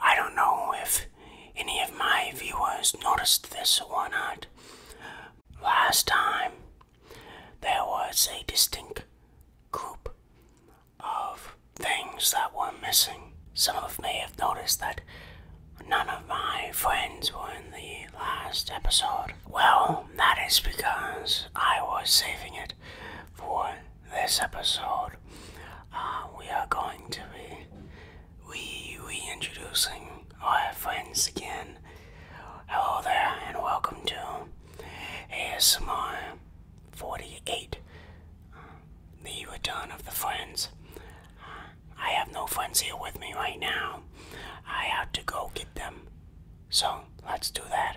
I don't know if any of my viewers noticed this or not. Last time, there was a distinct group of things that were missing. Some of may have noticed that none of my friends were in the last episode. Well, that is because I was saving it for this episode, uh, we are going to be we reintroducing our friends again. Hello there, and welcome to ASMR 48 uh, The Return of the Friends. I have no friends here with me right now. I have to go get them. So, let's do that.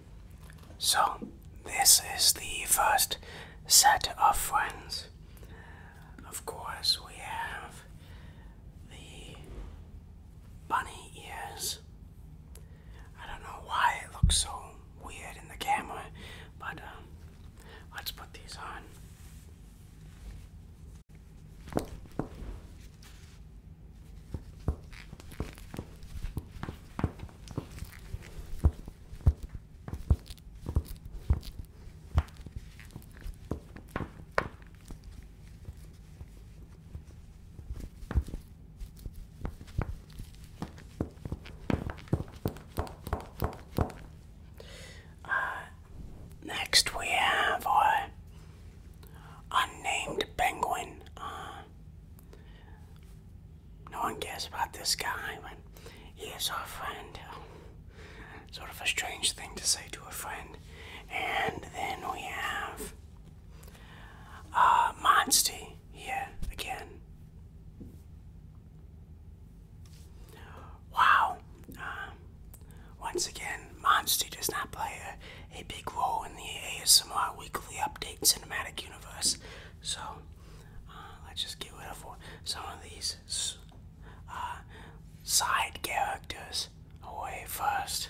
So, this is the first set of friends. Of course, we have the bunny ears. I don't know why it looks so weird in the camera, but um, let's put these on. Uh, next, we have our uh, unnamed penguin. Uh, no one cares about this guy, but he is our friend. Sort of a strange thing to say to a friend. And then we have uh, Monsty here again. Wow. Um, once again, Monsty does not play a, a big role in the ASMR Weekly Update Cinematic Universe. So uh, let's just get rid of some of these uh, side characters away first.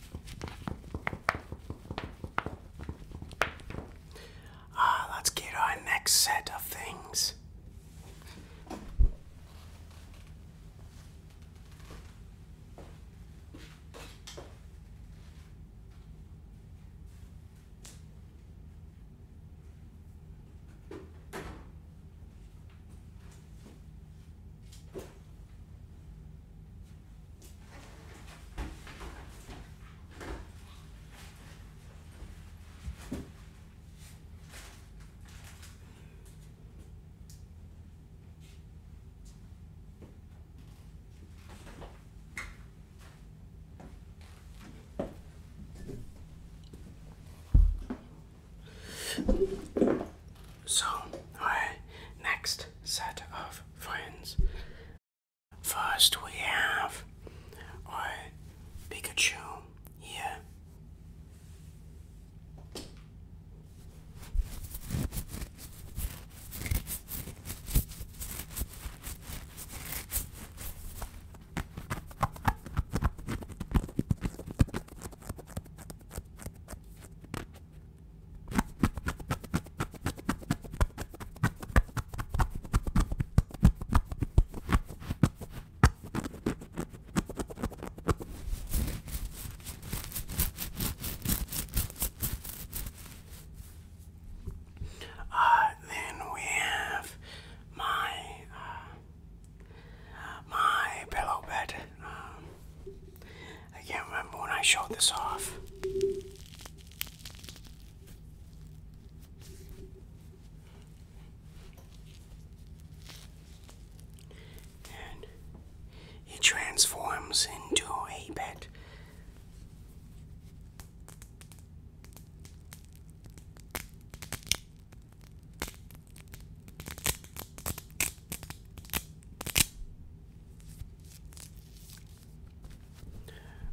Uh, let's get our next set of things. So, our next set of friends First, we have our Pikachu here. Uh, then we have my uh, my pillow bed. Um, I can't remember when I showed this off it transforms into a pet.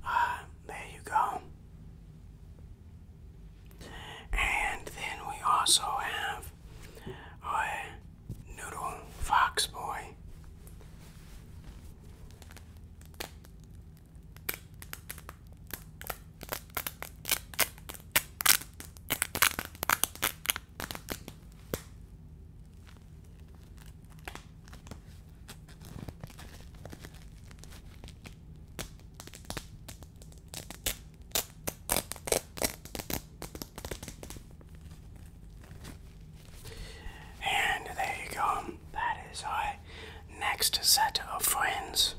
Uh, there you go. And then we also have a noodle fox boy. And there you go. That is our next set of friends.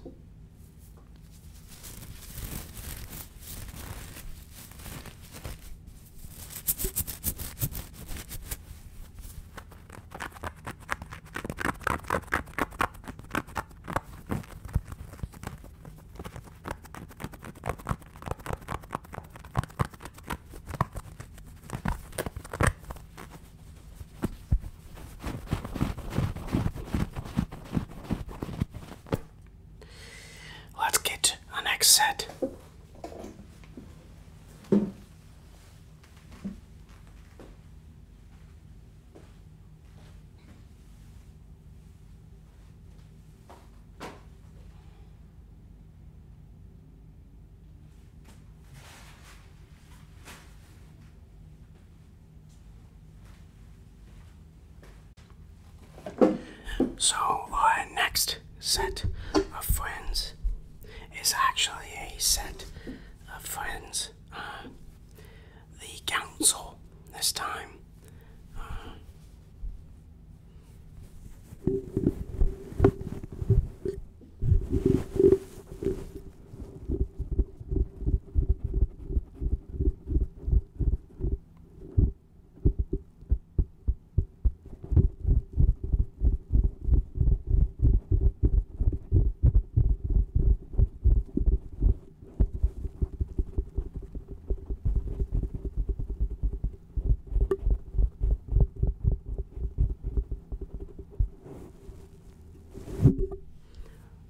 Let's get an next set. So our next set of friends is actually a set of friends. Um, the council this time. Uh,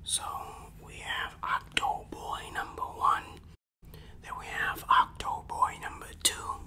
so we have Boy number one, then we have Octoboy number two,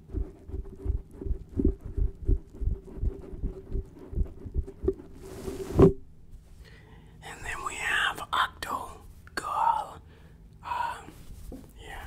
And then we have Octo Girl. Um, yeah.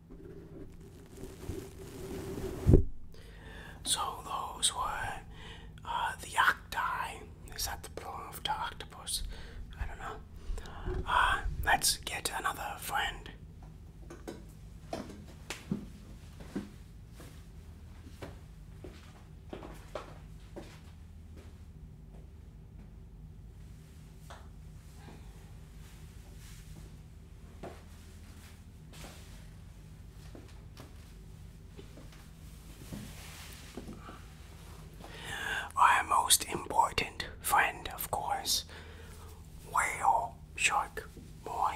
So those were uh, the octi. Is that the plural of the octopus? I don't know. Uh, let's get another friend. Our most important friend, of course, whale shark boy.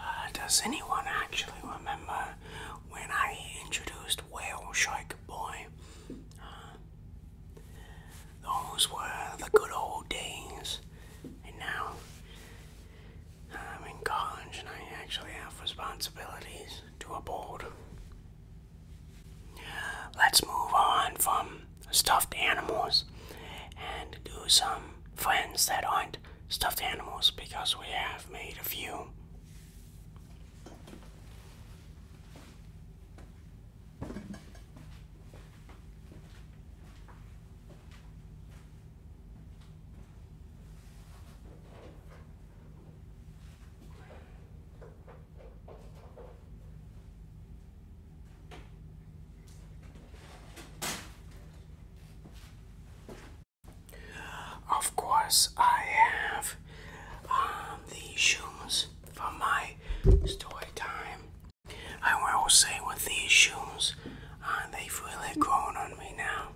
Uh, does anyone actually remember when I introduced Whale Shark Boy? Uh, those were the good old days, and now I'm in college and I actually have responsibilities to a board. Let's move on from stuffed animals and do some friends that aren't stuffed animals because we have made a few. Of course, I have um, the shoes for my story time I will say with these shoes, uh, they've really grown on me now.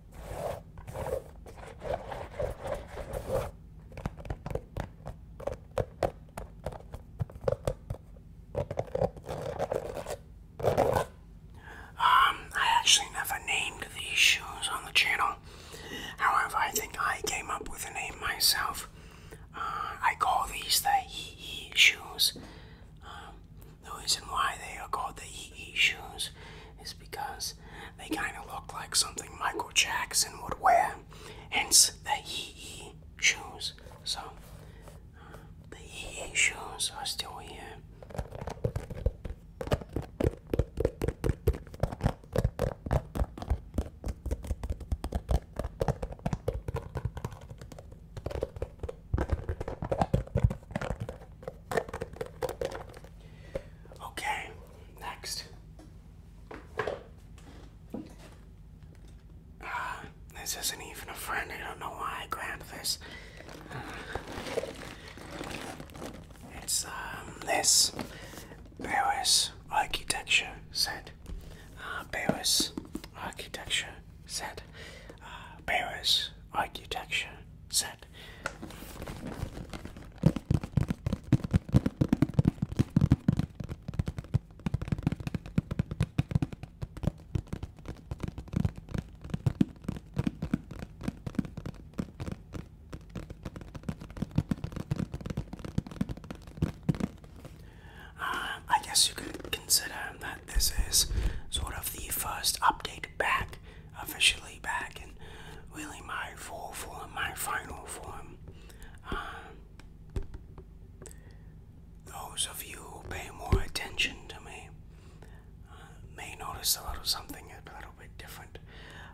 Um, I actually never named these shoes on the channel. However, I think I came up with a name myself. Uh, I call these the EE shoes. Um, the reason why they are called the EE shoes is because they kind of look like something Michael Jackson would wear, hence the EE shoes. So, uh, the EE shoes are still here. Okay, next. Uh, this isn't even a friend. I don't know why I grabbed this. Uh, it's um, this Paris architecture set. Paris uh, architecture set. Paris architecture set. Uh, I guess you could consider that this is sort of the first update back officially back and really my full form, my final form. Um, those of you who pay more attention to me uh, may notice a little something a little bit different.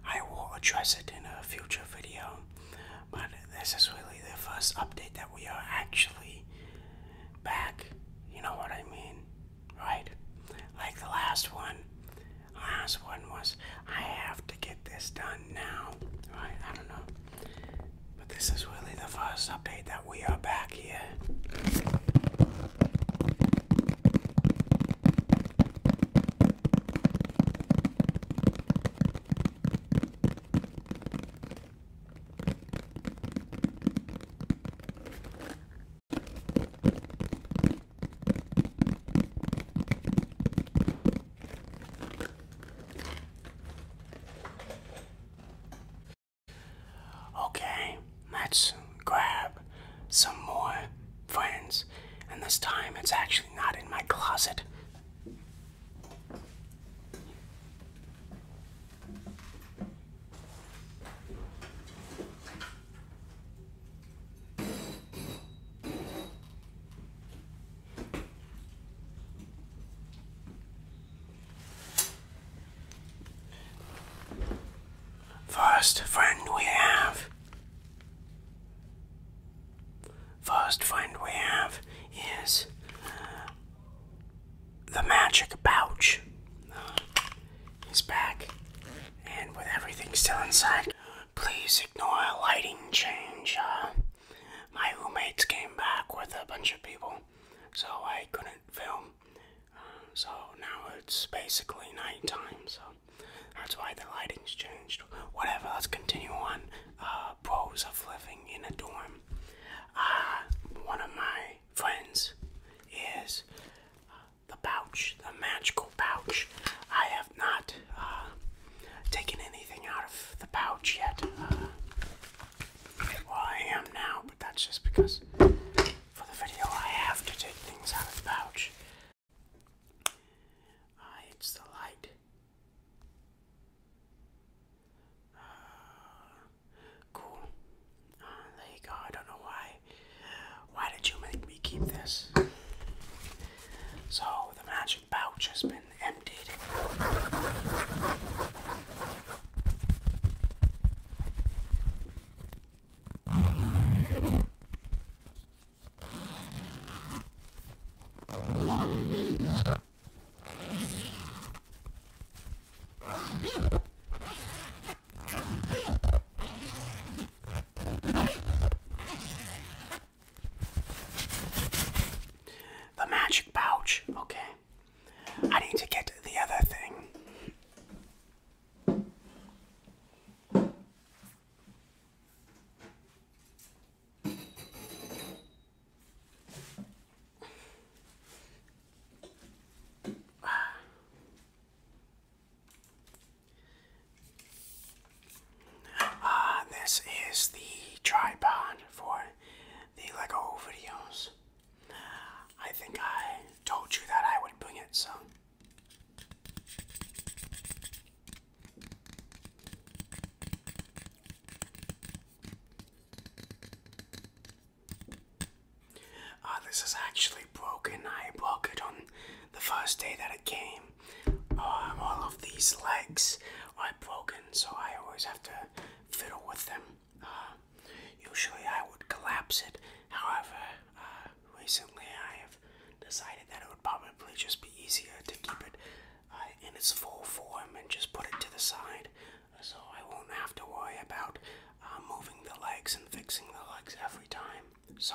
I will address it in a future video, but this is really the first update that we are actually back. You know what I mean, right? Like the last one, Last one was I have to get this done now. I don't know. But this is really the first update that we are back here. Okay, let's grab some more friends, and this time it's actually not in my closet. First friend we have. First friend we have is the magic pouch. He's back. And with everything still inside, please ignore a lighting change. Uh, my roommates came back with a bunch of people, so I couldn't film. Uh, so now it's basically nighttime, so that's why the lighting's changed. Whatever, let's continue on. Uh, pros of living in a dorm. Uh, one of my friends is the pouch, the magical pouch. I have not uh, taken anything out of the pouch yet. Uh, well, I am now, but that's just because for the video I have to take things out of the pouch. Uh, it's the light. Uh, cool. Uh, there you go. I don't know why why did you make me keep this? So the magic pouch has been emptied. The magic pouch. Okay. I need to get the other thing. Uh, this is the tripod for the Lego videos. I think I told you that I would bring it, so. Uh, this is actually broken. I broke it on the first day that it came. Um, all of these legs are broken, so I always have to fiddle with them. Uh, usually I would collapse it, however, uh, recently I have decided that it would probably just be easier to keep it uh, in its full form and just put it to the side so I won't have to worry about moving the legs and fixing the legs every time. So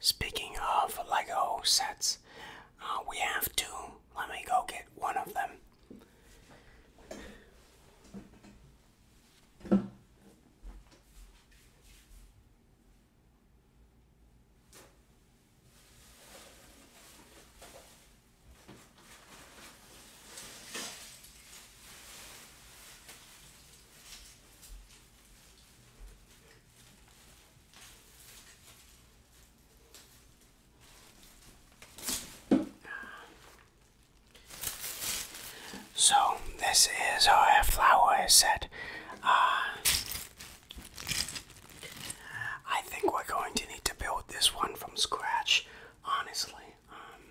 Speaking of Lego sets, uh, we have two. Let me go get one of them. So this is our flower set. Uh, I think we're going to need to build this one from scratch, honestly. Um,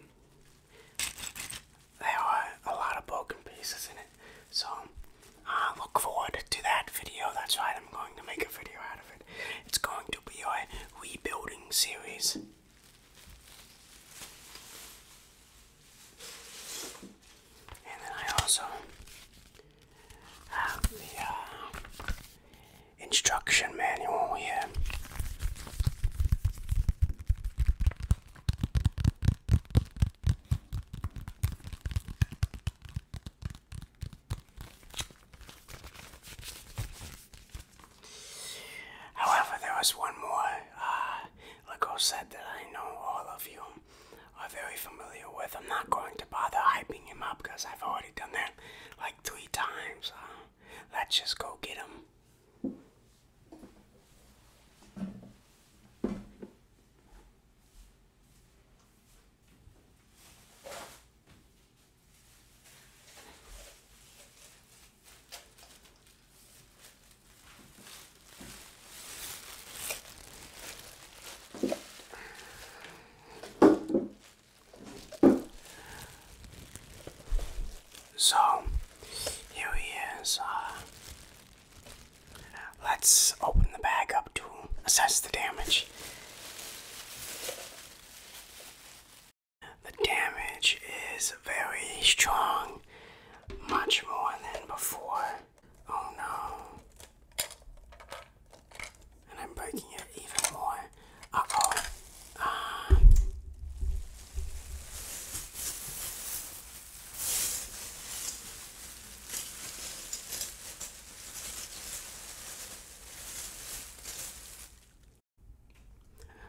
there are a lot of broken pieces in it. So I uh, look forward to that video. That's right, I'm going to make a video out of it. It's going to be a rebuilding series. And then I also have the uh, instruction manual here. However, there was one more uh, Lego set that I know all of you are very familiar with. I'm not going to bother hyping him up because I've already done that like three times. Uh, let's just go get him. So here he uh, Let's open the bag up to assess the damage. The damage is very strong, much more than before. Oh no. And I'm breaking it even more. Uh oh.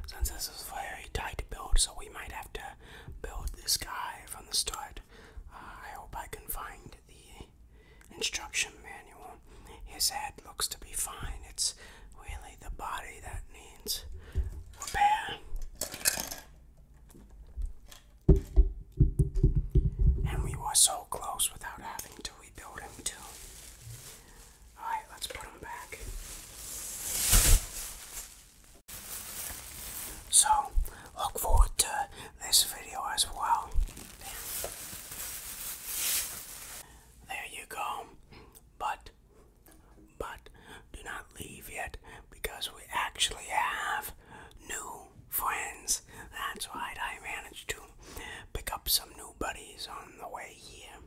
Since this is a very tight build, so we might have to build this guy from the start. Uh, I hope I can find the instruction manual. His head looks to be fine. It's really the body that needs repair. And we were so close without having to rebuild him, too. Alright, let's put him back. So, look forward to this video as well. There you go. But, but, do not leave yet because we actually have new friends. That's right, I managed to pick up some new buddies on the way here.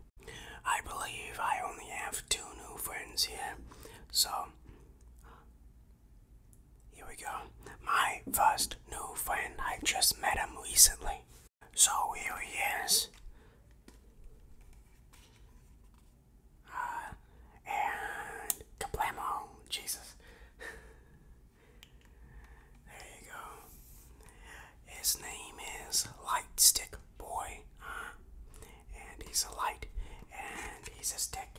I believe I only have two new friends here. So, here we go. My first new friend, I just met him recently. So, here he is uh, and kablamo, Jesus. there you go. His name is Light Stick Boy, uh, and he's a light, and he's a stick,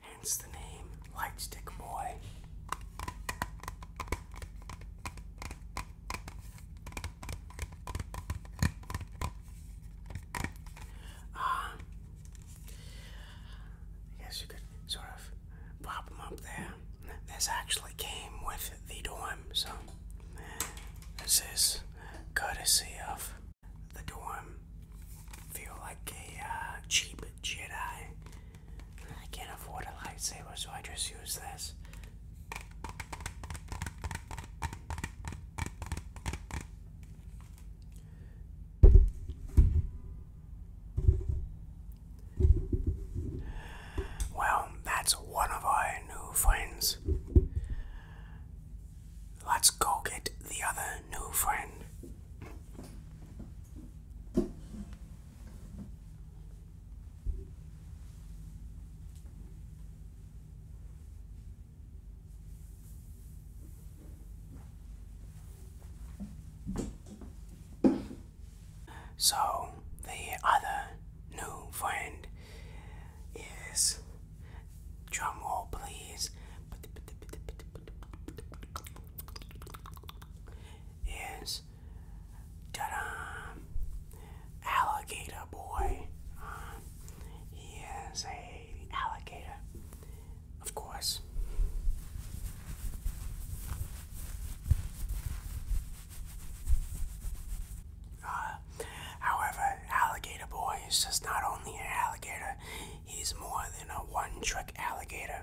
hence the name Light Stick Boy. Uh, I guess you could sort of pop them up there. This actually came with the dorm, so eh, this is courtesy of the dorm. Feel like a uh, cheap Jedi. I can't afford a lightsaber, so I just use this. Well, that's one of our new friends. Let's go get the other new friend. So, the other new friend is drum roll, please. Is ta-da, alligator boy. he is a alligator. Of course. Uh, however, Alligator Boy is just not only an alligator, he's more than a one trick alligator.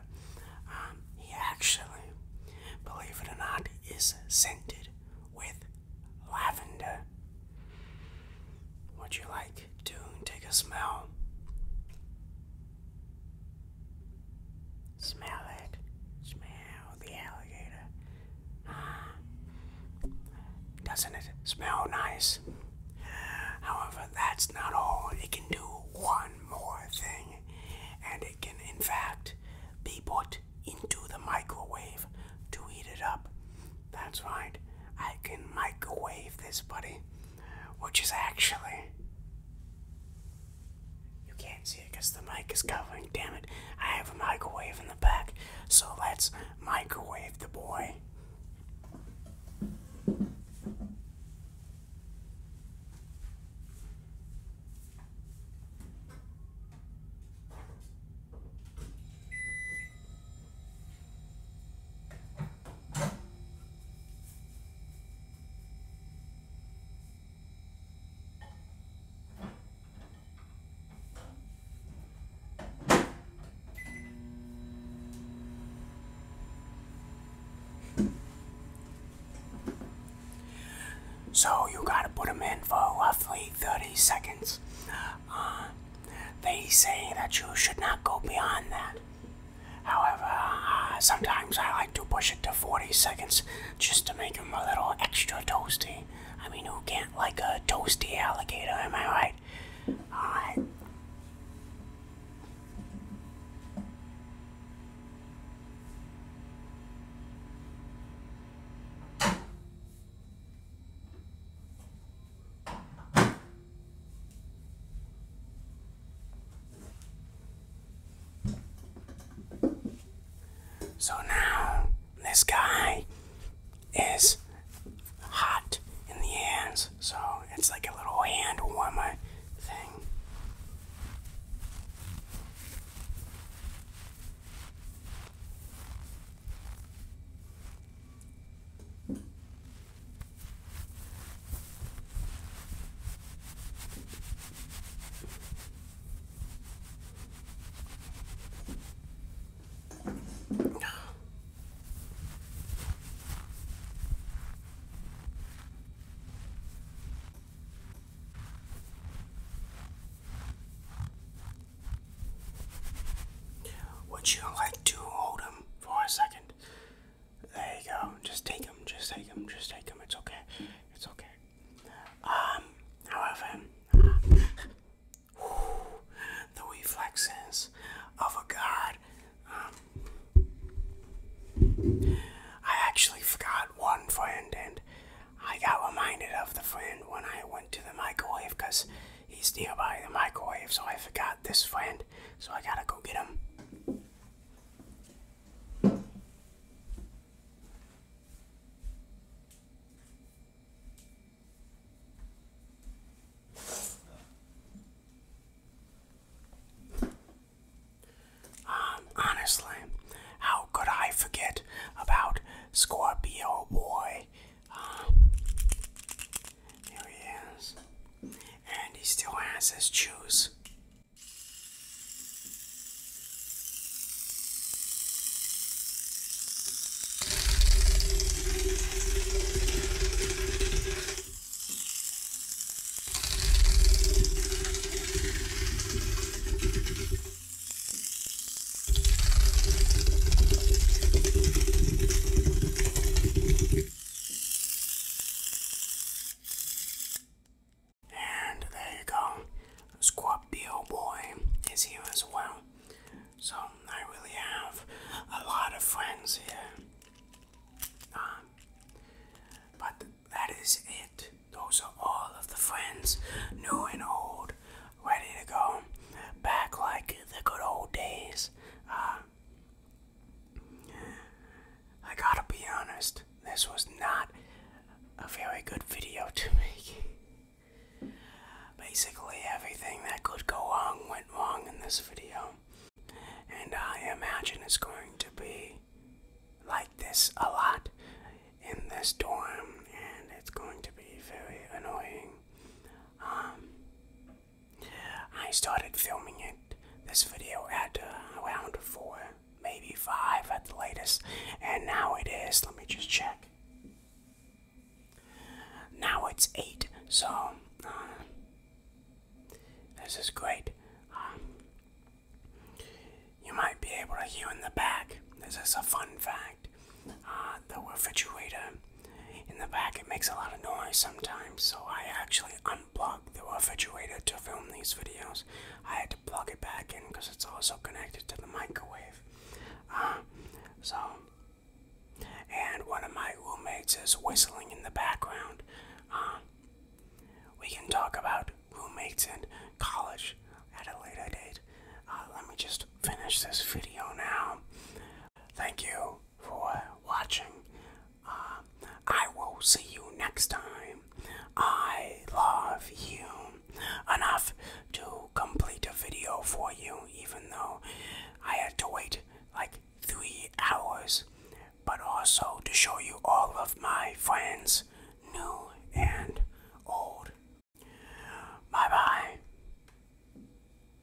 Um, he actually, believe it or not, is scented with lavender. Would you like do doing? Take a smell. Smell it. Smell the alligator. Doesn't it smell nice? However, that's not all. It can do one more thing, and it can, in fact, be put into the microwave to heat it up that's right. I can microwave this, buddy. Which is actually. You can't see it because the mic is covering. Damn it. I have a microwave in the back. So let's microwave the boy. So you gotta put them in for roughly 30 seconds. Uh, they say that you should not go beyond that. However, uh, sometimes I like to push it to 40 seconds just to make them a little extra toasty. I mean, who can't like a toasty alligator, am I right? Alright. Uh, so now this guy is hot in the hands, so it's like a little hand warmer thing. Would you like to hold him for a second? There you go. Just take them. Just take them. Just take them. It's okay. It's okay. Um, however, the reflexes of a guard. Um, I actually forgot one friend, and I got reminded of the friend when I went to the microwave because He's nearby the microwave, so I forgot this friend, so I gotta go get him. Um, honestly, how could I forget about Scorpio Boy? Um, there he is. And he still has his shoes. And there you go. Scorpio Boy is here as well. So I really have a lot of friends here. Um, but that is it. Those are all of the friends, new and old, ready to go back like the good old days. Uh, I gotta be honest, this was not a very good video to make. Basically, everything that could go wrong went wrong in this video. And I imagine it's going to be like this a lot in this dorm, and it's going to be very annoying. Um, I started filming it, this video, at uh, around 4, maybe 5 at the latest, and now it is, let me just check. Now it's 8, so uh, this is great. Um, you might be able to hear in the back, this is a fun fact. Uh, the refrigerator in the back, it makes a lot of noise sometimes, so I actually unplug the refrigerator to film these videos. I had to plug it back in because it's also connected to the microwave. Uh, so, and one of my roommates is whistling in the background. Uh, we can talk about roommates and college at a later date. Uh, let me just finish this video now. Thank you for watching. Uh, I will see you next time. I love you enough to complete a video for you, even though I had to wait like three hours, but also to show you all of my friends, new and old. Bye bye.